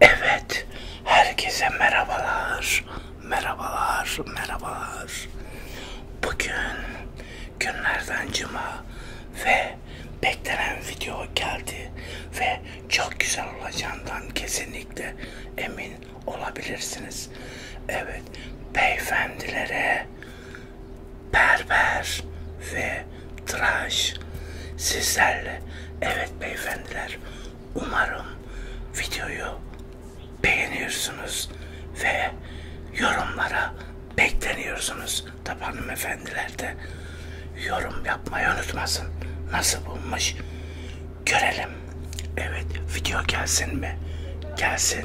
Evet, herkese merhabalar, merhabalar, merhabalar. Bugün günlerden cuma ve beklenen video geldi ve çok güzel olacağından kesinlikle emin olabilirsiniz. Evet, beyefendilere berber ve tıraş sizlerle. Evet beyefendiler umarım videoyu beğeniyorsunuz ve yorumlara bekleniyorsunuz. Tabi hanımefendiler de yorum yapmayı unutmasın. Nasıl bulmuş görelim. Evet video gelsin mi? Gelsin.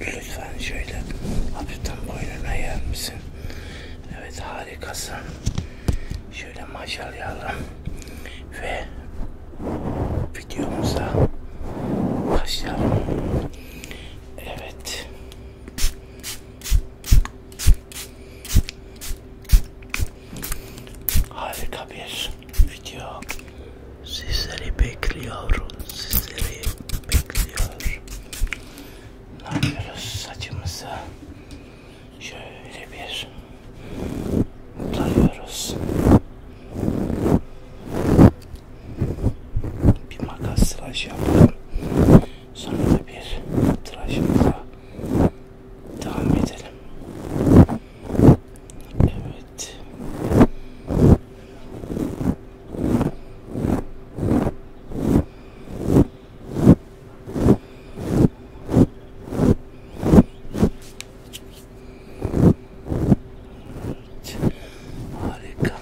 Lütfen şöyle hafiften boynuna yer misin? Evet harikasın. Şöyle maşalayalım. Ve videomuza başlayalım. Evet. Harika bir video Sizleri bekliyorum, sizleri bekliyor. Ne yapıyoruz saçımızı? Şöyle bir tarıyoruz. Bir makas tıraş yapalım. Sonra da bir tıraşımıza devam edelim. Evet. Evet. Harika.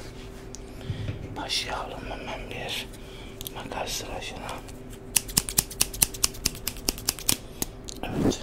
Başlayalım hemen bir makas sırasına. Evet.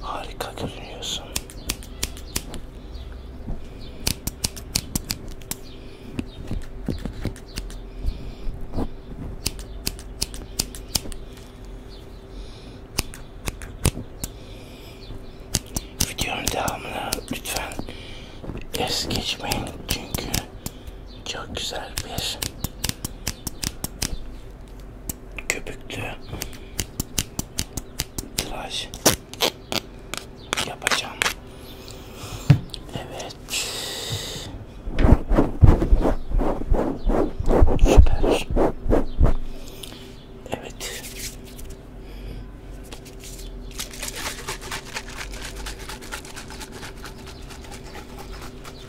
Harika görünüyorsun. Videonun devamını lütfen es geçmeyin çünkü çok güzel bir köpüklü tıraş yapacağım. Evet. Süper. Evet.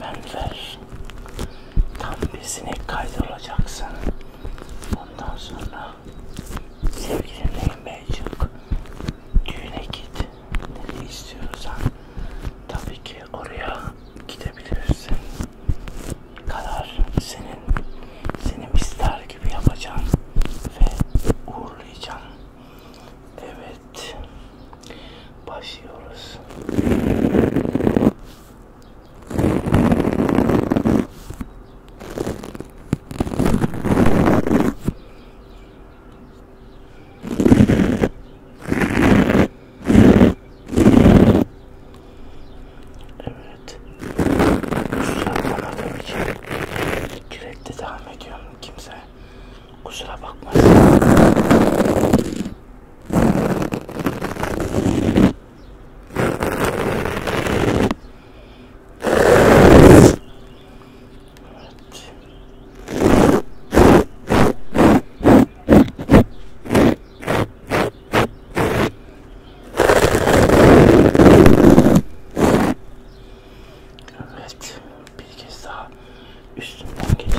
beyefendiler tam bir sinek kaydı olacaksın. Ondan sonra sevgilin Beycik düğüne git ne istiyorsan tabii ki oraya gidebilirsin karar senin senin ister gibi yapacağım ve uğurlayacağım evet başlıyoruz Evet. Kusura bakmadığım için direkte devam ediyorum. Kimse kusura bakmasın. Evet. Bir kez daha üstünden geçelim.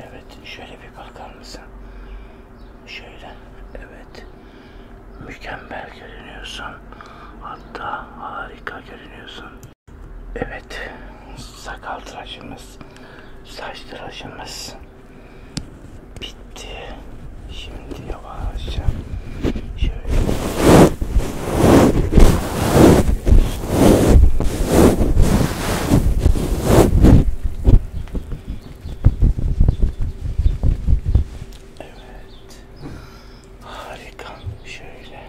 Evet şöyle bir bakar mısın? Şöyle evet mükemmel görünüyorsun. Hatta harika görünüyorsun. Evet sakal tıraşımız saç tıraşımız bitti. Şimdi yavaşça şöyle Evet. Harika. Şöyle.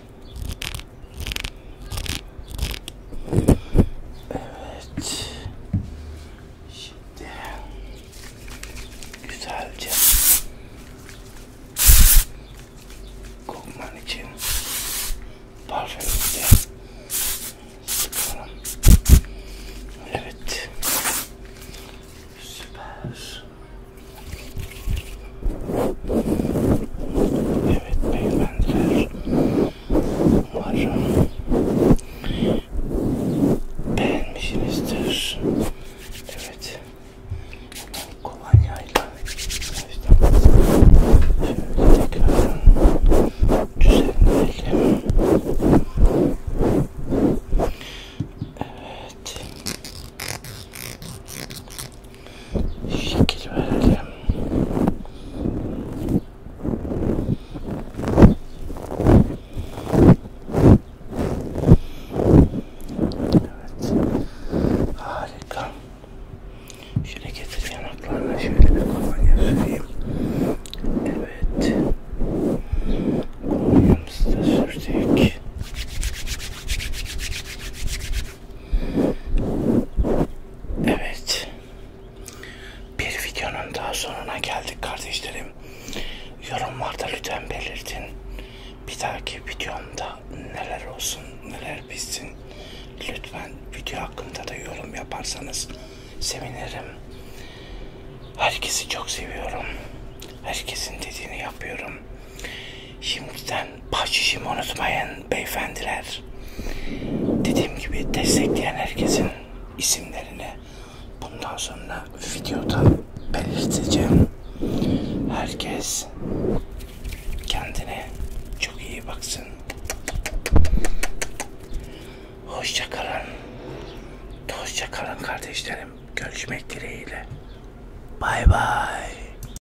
Evet. Şimdi güzelce kokman için parfümümüzü sıkalım. Evet. Süper. Evet peygamber umarım beğenmişsinizdir. Evet kolonyayla şöyle tekrar düzenleyelim. Evet şekil verelim. Evet. Harika. Şöyle getir yanaklarına şöyle bir kolonya süreyim. Evet. Kolonyamızı da sürdük. Evet. Bir videonun daha sonuna geldik kardeşlerim. Yorumlarda lütfen belirtin. Bir dahaki videomda neler olsun, neler bitsin. Lütfen video hakkında da yorum yaparsanız sevinirim. Herkesi çok seviyorum. Herkesin dediğini yapıyorum. Şimdiden bahşişimi unutmayın beyefendiler. Dediğim gibi destekleyen herkesin isimlerini bundan sonra videoda belirteceğim. Herkes kendine çok iyi baksın. Hoşça kalın. Hoşça kalın kardeşlerim. Görüşmek dileğiyle. Bay bay.